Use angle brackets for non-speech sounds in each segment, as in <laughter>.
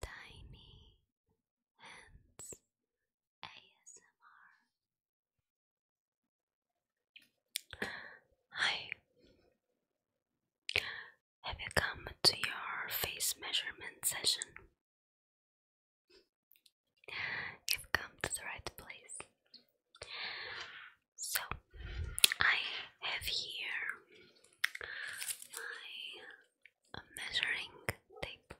Tiny Hands ASMR. Hi. Have you come to your face measurement session? You've come to the right place. So, I have here my a measuring tape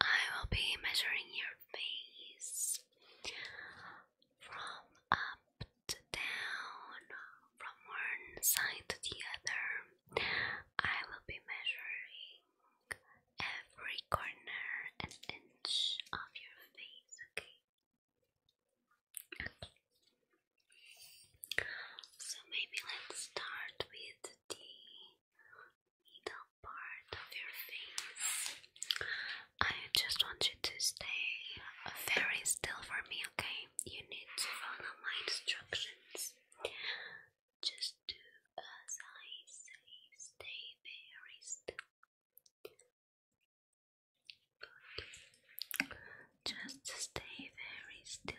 I will be measuring your face from up to down, from one side to the other. I will be measuring every corner and inch of your face, okay? So maybe let's start with the middle part of your face. I just want you to stay very still for me, okay? You need to follow my instructions. Just do as I say, stay very still. Just stay very still.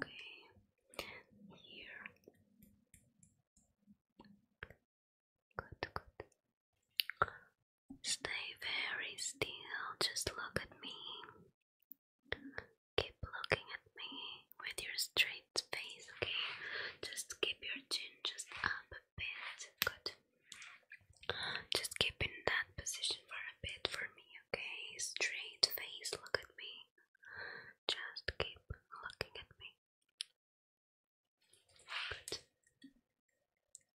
Okay, here Good, good. Stay very still. Just look at me. Keep looking at me with your straight face, okay? Just keep your chin just up a bit. Good. Just keep in that position for a bit for me, okay? Straight face, look at me. Just keep looking at me. Good here.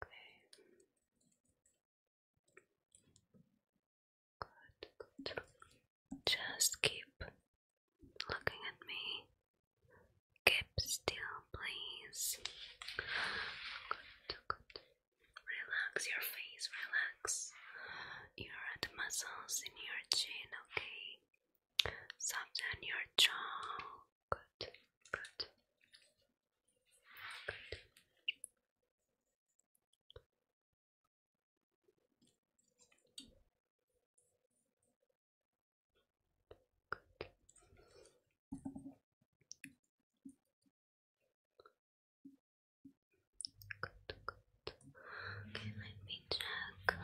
Okay. Good, good. Just keep looking at me. Keep still, please. Good, good. Relax your face, relax your muscles in your chin, okay? Soften your jaw good, good, good. Good. Good, good. Okay, let me check.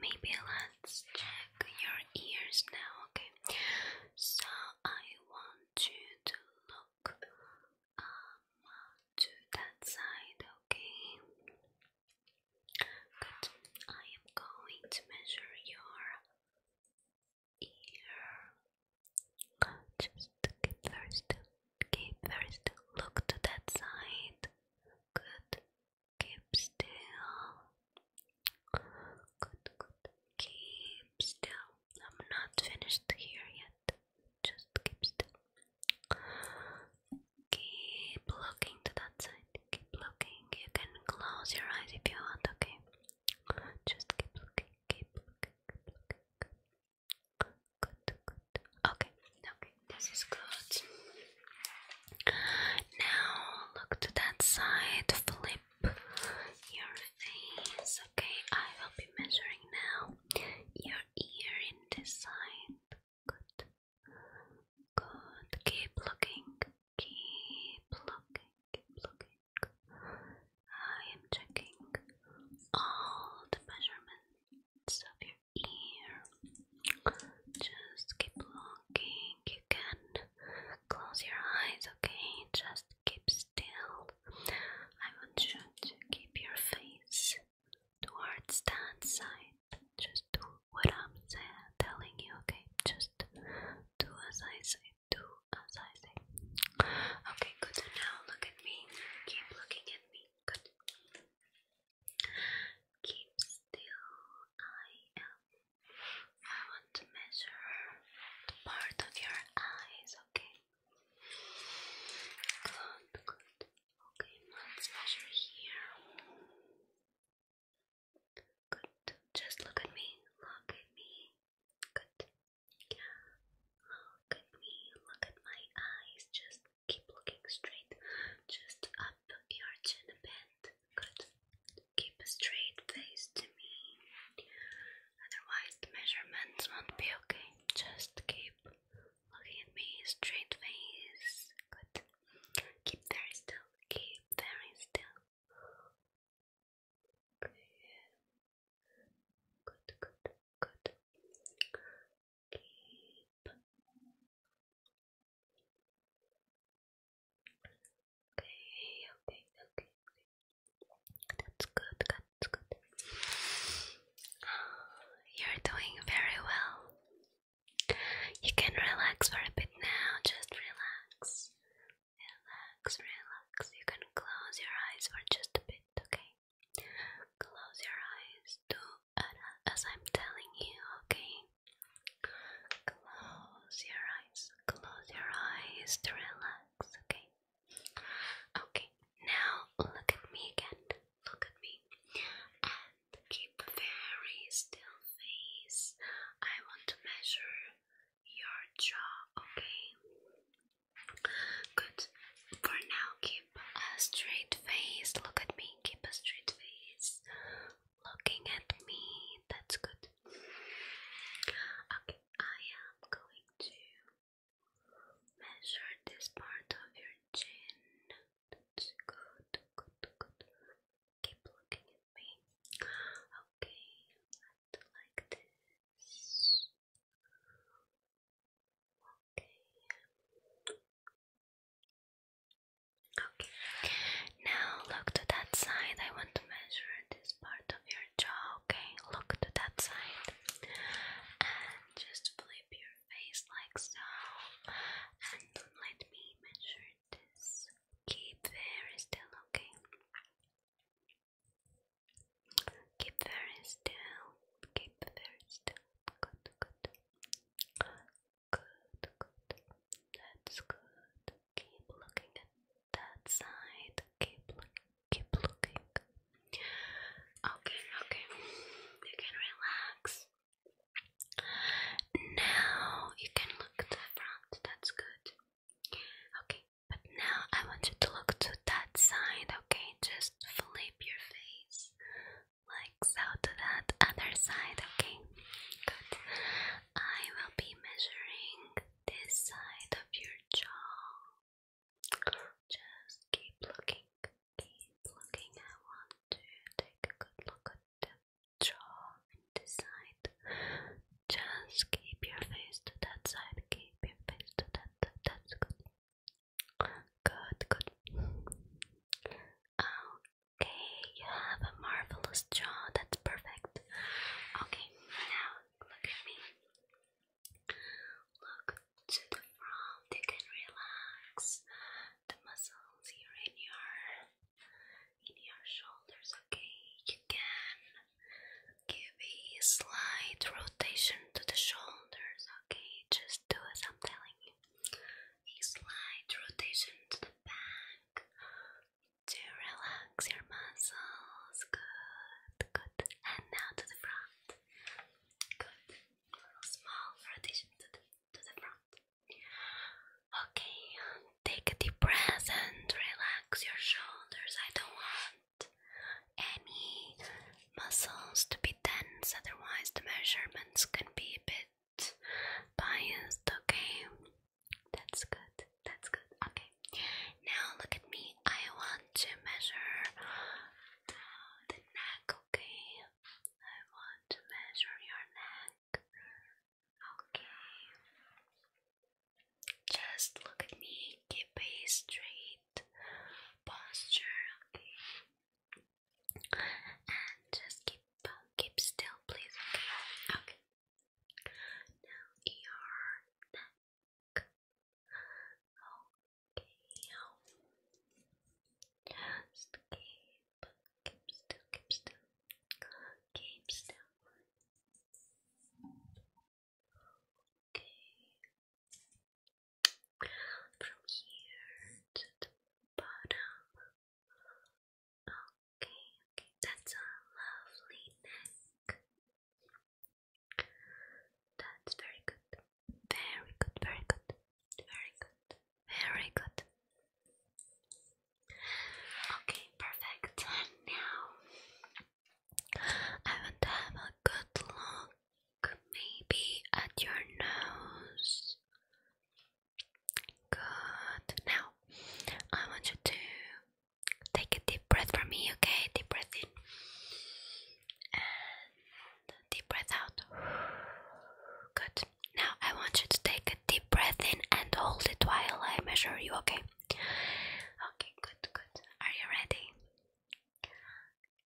Maybe let's check your ears now, okay? So I want you to look um, to that side, okay? Good. I am going to measure your ear. Just keep very still. Keep Look to that side. Good. Keep still. Good, good. Keep still. I'm not finished here yet. Just keep still. Keep looking to that side. Keep looking. You can close your eyes if you want, okay? Just keep looking, keep looking, keep looking. Good, good. Okay, now this is good. Now look to that side, flip your face. Okay, I will be measuring now your ear in this side. Good. Good. Keep looking. Keep looking. Keep looking. I am checking all the measurements of your ear. Just keep looking. You can close your eyes, okay? Just keep still. I want you to keep your face towards that side. Just do what I'm telling you, okay? Just do as I say. Do as I say. Okay, good. Now look at me. Keep looking at me. Good. Keep still. I I want to measure the part of your eyes, okay? Good, good. Okay, let's measure here. Good. Just look at me. Look at me. Good. Yeah. Look at me. Look at my eyes. Just keep looking straight. Just up your chin a bit. Good. Keep a straight face to me. Otherwise, the measurements won't be okay. Just keep looking at me, straight face. Good. Keep very still. Keep very still. Good, good, good. Keep Okay, okay, okay, That's good, that's good. You're doing very well. You can relax for a bit now, just relax. Relax, relax. You can close your eyes for just a bit, okay? Close your eyes. Two, as I'm telling you, okay? Close your eyes, close your eyes to relax, okay? Okay, now look at me again. Look at me and keep a very still face. I want to measure your jaw, okay? Good. For now, keep a straight face. Look at me, keep a straight face looking at me. That's good. Okay, I am going to measure this part of your chin. That's good, good, good. Keep looking at me. Okay, like this. Okay. Okay, now look to that side. I want to measure this part of your jaw. Okay, look to that side and just flip your face like so. And let me measure this. Keep very still, okay? Keep very still. Keep very still. Good, good. Good, good. That's good. Keep looking at that side. Keep looking, keep looking. Okay, okay. You can relax. Now you can look to the front. That's good. Okay, but now I want you to look to that side, okay? Just flip your face like to that other side, okay? Good. I will be measuring this side of your jaw. Just keep looking, keep looking. I want to take a good look at the jaw this side. Just keep your face to that side, keep your face to that side. That's good. Good, good. Okay, you have a marvelous jaw. That's perfect. Okay, now look at me. Look to the front. You can relax the muscles here in your in your shoulders. Okay, you can give a slight rotation to the shoulders. Okay, just do as I'm telling you. A slight rotation to the back to relax your muscles. Good, good. And now to the front. Good. Small rotation to the, to the front. Okay, take a deep breath and relax your shoulders. I don't want any muscles to be tense, otherwise, the measurements can be a bit biased, okay? That's good, that's good, okay. Now look at me, I want to measure the neck, okay? I want to measure your neck, okay? Just look at me, keep a straight posture, okay? And just keep keep keep still, please. Okay. Okay. Now neck. Okay. Just keep keep still, keep still, keep still. Okay. From here to the bottom. Okay, okay, that's a lovely neck. That's very good. Very good, very good, very good, very good. Okay, perfect. now I want to have a good look maybe at your nose. Good. Now, I want you to take a deep breath from me, okay? Deep breath in and deep breath out. Good. Now, I want you to take a deep breath in and hold it while I measure you, okay? Okay, good, good. Are you ready?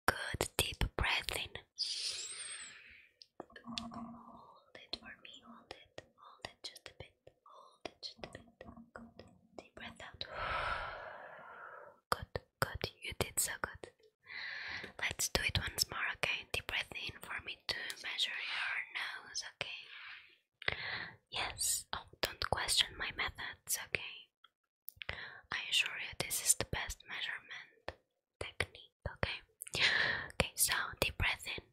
Good deep breath in Hold it for me, hold it, hold it just a bit, hold it just a bit. Good. Deep breath out. <sighs> Good, good, you did so good. Let's do it once more, okay? Deep breath in for me to measure your nose, okay? Yes, oh, don't question my methods, okay? I assure you, this is the best measurement technique okay? Okay, so deep breath in.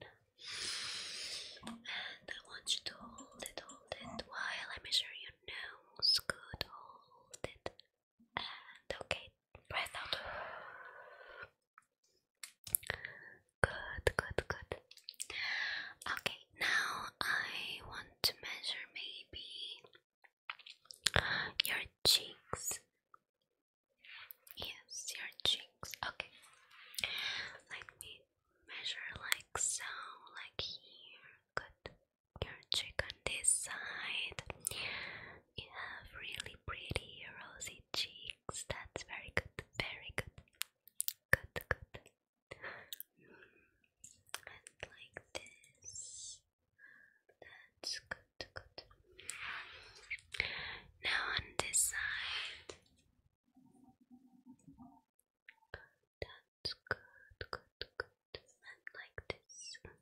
And I want you to hold it, hold it while I measure your nose. Good, hold it. And okay, breath out. Good, good, good. Okay, now I want to measure maybe your cheeks. Yes, your cheeks. Okay. Let me measure like so, like here. Good. Your cheek on this side. You have really pretty rosy cheeks. That's very good. Very good. Good, good. And like this. That's good, good. Now on this side. That's good, good, good. And like this. Good.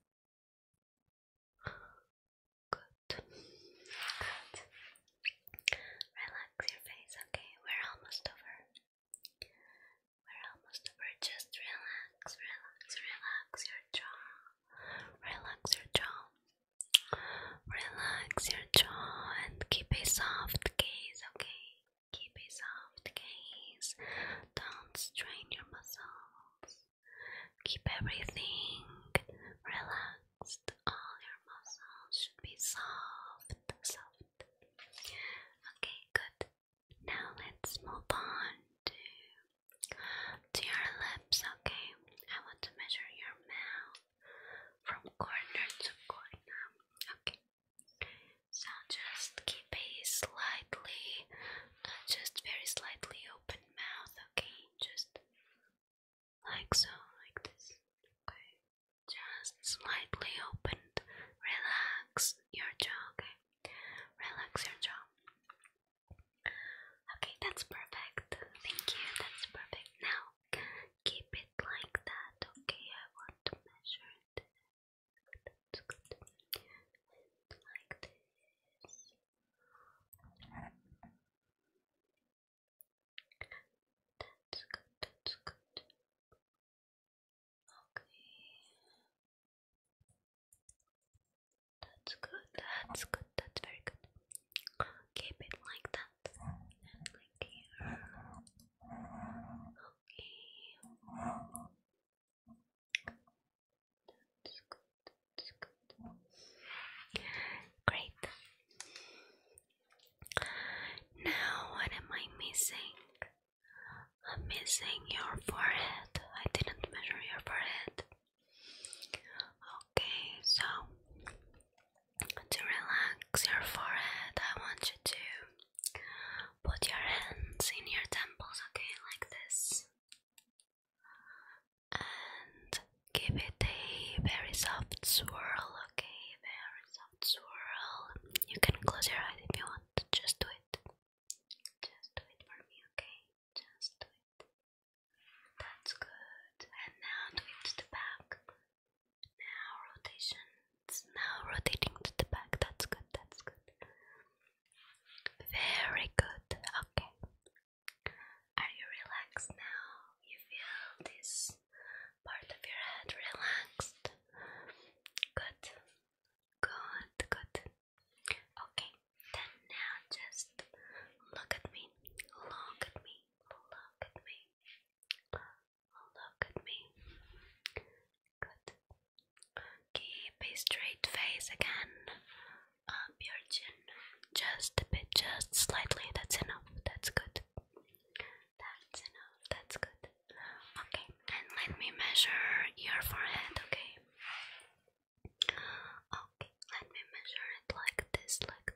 Good. Relax your face, okay? We're almost over. We're almost over. Just relax, relax, relax your jaw. Relax your jaw. Relax your jaw and keep a soft gaze, okay? Keep a soft gaze. Don't strain your muscles. Keep everything relaxed. All your muscles should be soft, soft. Okay, good. Now let's move on to to your lips, okay? I want to measure your mouth from corner to corner. Okay. So just keep a slightly, uh, just very slightly open mouth. Okay, just like so, like this. Okay, just slightly opened. Relax your jaw. Okay, relax your jaw. Okay, that's perfect. Thank you. That's perfect. Now keep it like that. Okay, I want to measure it. That's good. like this. That's good, that's good. Okay. That's good, that's good, that's very good. Keep it like that Okay. Great. Now, what am I missing? I'm missing your forehead. I didn't measure your forehead. Okay, so to relax your forehead, I want you to put your hands in your temples, okay, like this, and give it a very soft swirl, okay, very soft swirl. You can close your eyes if you want, just do it, just do it for me, okay, just do it. That's good. And now do it to the back. Now rotation. Now rotating to the back. That's good. That's good. Very good. Okay. Are you relaxed now? You feel this part of your head relaxed? Good. Good. Good. Okay. Then now just look at me. Look at me look at me. look at me. Good. Keep a straight face again. Up your chin. Just a bit, just slightly. That's enough. That's good. That's enough. That's good. Okay, and let me measure your forehead, okay? Okay, let me measure it like this, like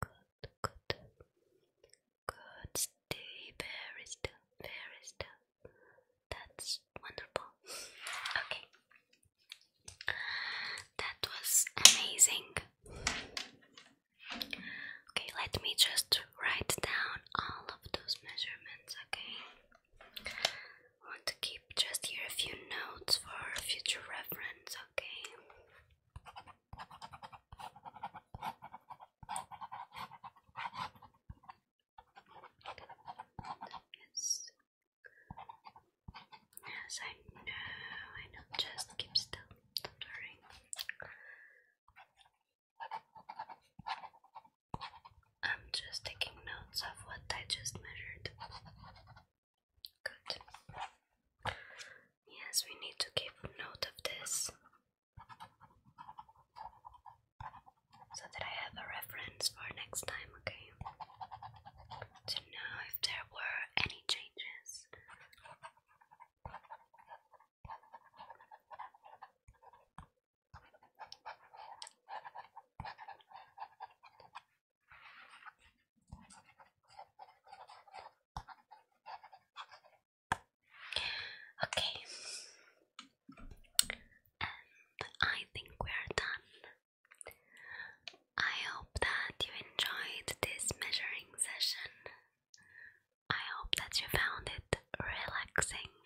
Good, good. Good. Stay very still, very still. That's wonderful. Okay. That was amazing. Okay, let me just write down all of those measurements, okay? want to keep just here a few notes for future reference, it's okay. Yes. Yes, I know. I know. Just keep still. Don't worry. I'm just taking notes of what I just measured. Good. Yes, we need to keep note of this so that I have a reference for next time, okay? To know if there were any changes. Okay, and I think we are done. I hope that you enjoyed this measuring session. I hope that you found it relaxing.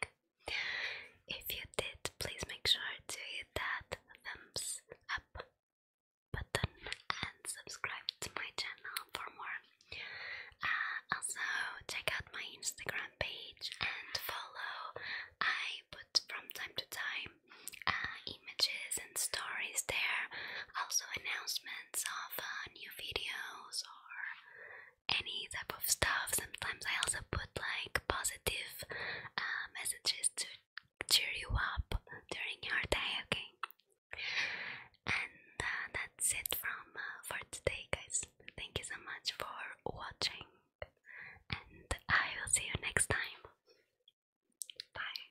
If you did, please make sure to hit that thumbs up button and subscribe to my channel for more. Uh, also, check out my Instagram page and follow. I put from time to time uh, images and stories there, also announcements of uh, new videos or any type of stuff. Sometimes I also put like positive messages to cheer you up during your day, okay? And uh, that's it from uh, for today, guys. Thank you so much for watching, and I will see you next time. Bye.